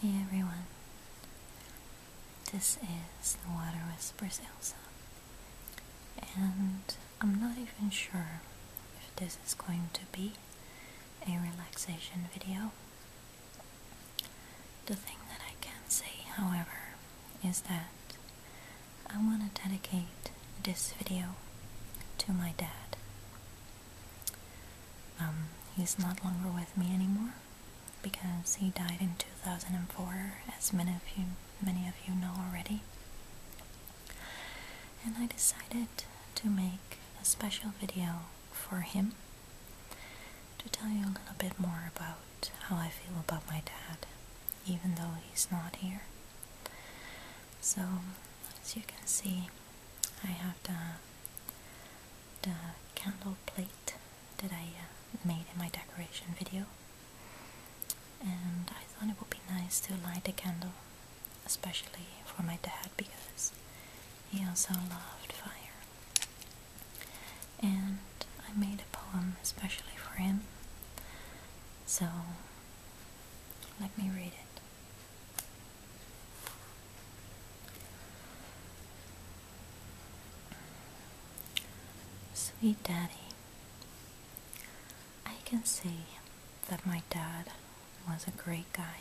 Hey everyone, this is the Water Whispers Elsa, and I'm not even sure if this is going to be a relaxation video. The thing that I can say, however, is that I want to dedicate this video to my dad. Um, he's not longer with me anymore because he died in 2004, as many of you, many of you know already and I decided to make a special video for him to tell you a little bit more about how I feel about my dad, even though he's not here. So, as you can see, I have the, the candle plate that I uh, made in my decoration video, and I thought it would be nice to light a candle especially for my dad because he also loved fire. And I made a poem especially for him. So let me read it. Sweet Daddy, I can say that my dad was a great guy.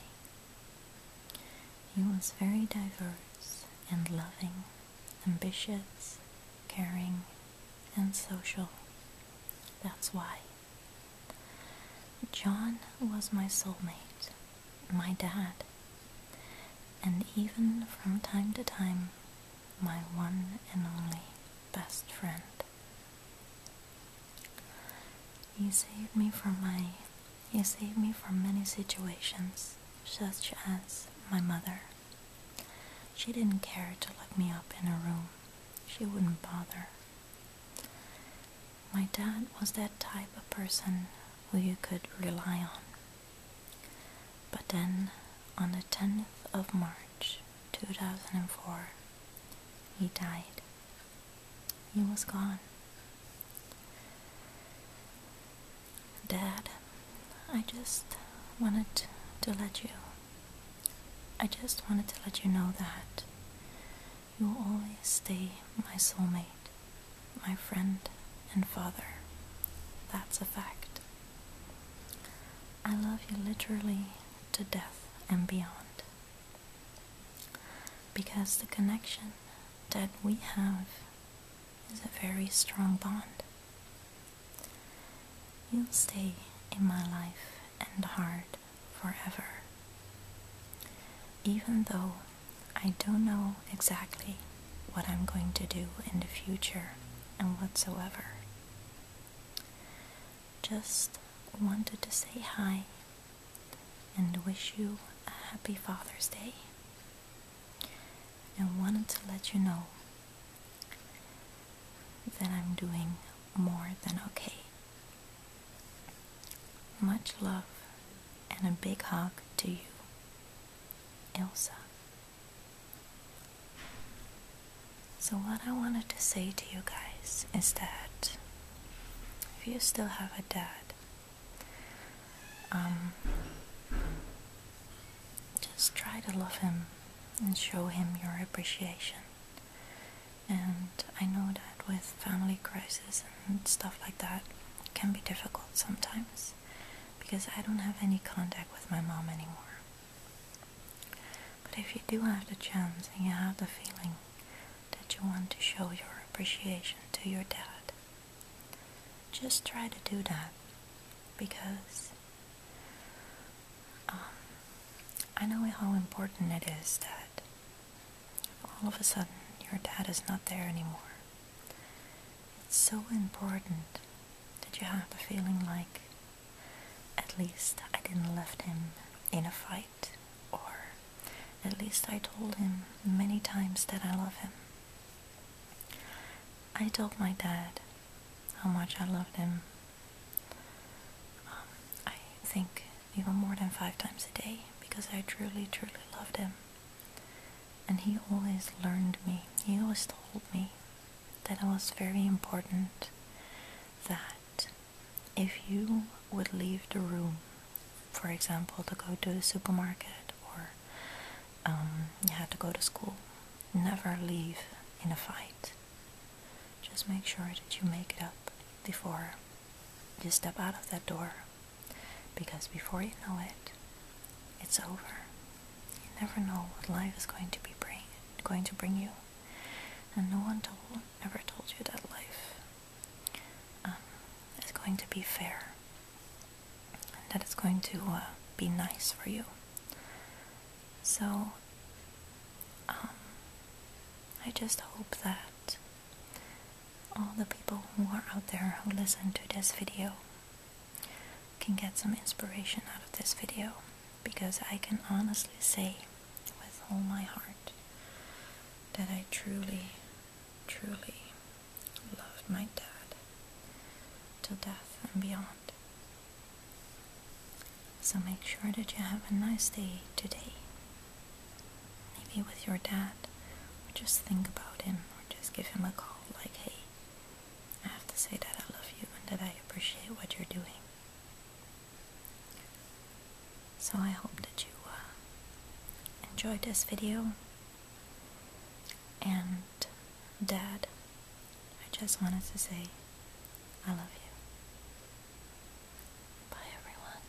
He was very diverse and loving, ambitious, caring, and social. That's why. John was my soulmate, my dad, and even from time to time, my one and only best friend. You saved me from my you saved me from many situations, such as my mother. She didn't care to lock me up in her room. She wouldn't bother. My dad was that type of person who you could rely on. But then, on the 10th of March, 2004, he died. He was gone. Dad, I just wanted to let you. I just wanted to let you know that you will always stay my soulmate, my friend, and father. That's a fact. I love you literally to death and beyond. Because the connection that we have is a very strong bond. You'll stay in my life and heart forever. Even though I don't know exactly what I'm going to do in the future and whatsoever. Just wanted to say hi and wish you a happy Father's Day. And wanted to let you know that I'm doing more than okay. Much love and a big hug to you, Elsa. So, what I wanted to say to you guys is that if you still have a dad, um, just try to love him and show him your appreciation. And I know that with family crisis and stuff like that, it can be difficult sometimes because I don't have any contact with my mom anymore. But if you do have the chance and you have the feeling that you want to show your appreciation to your dad, just try to do that because um, I know how important it is that all of a sudden your dad is not there anymore. It's so important did you have a feeling like at least I didn't left him in a fight or at least I told him many times that I love him? I told my dad how much I loved him. Um, I think even more than five times a day because I truly, truly loved him. And he always learned me. He always told me that it was very important that if you would leave the room, for example, to go to the supermarket or um, you had to go to school, never leave in a fight. Just make sure that you make it up before you step out of that door because before you know it, it's over. You never know what life is going to be bring, going to bring you, and no one told, ever told you that life um, is going to be fair, and that it's going to uh, be nice for you. So, um, I just hope that all the people who are out there who listen to this video can get some inspiration out of this video because I can honestly say with all my heart that I truly, truly love my dad till death and beyond. So make sure that you have a nice day today. Maybe with your dad, or just think about him, or just give him a call like, hey, I have to say that I love you and that I appreciate what you're doing. So I hope that you uh, enjoyed this video and Dad, I just wanted to say I love you. Bye everyone.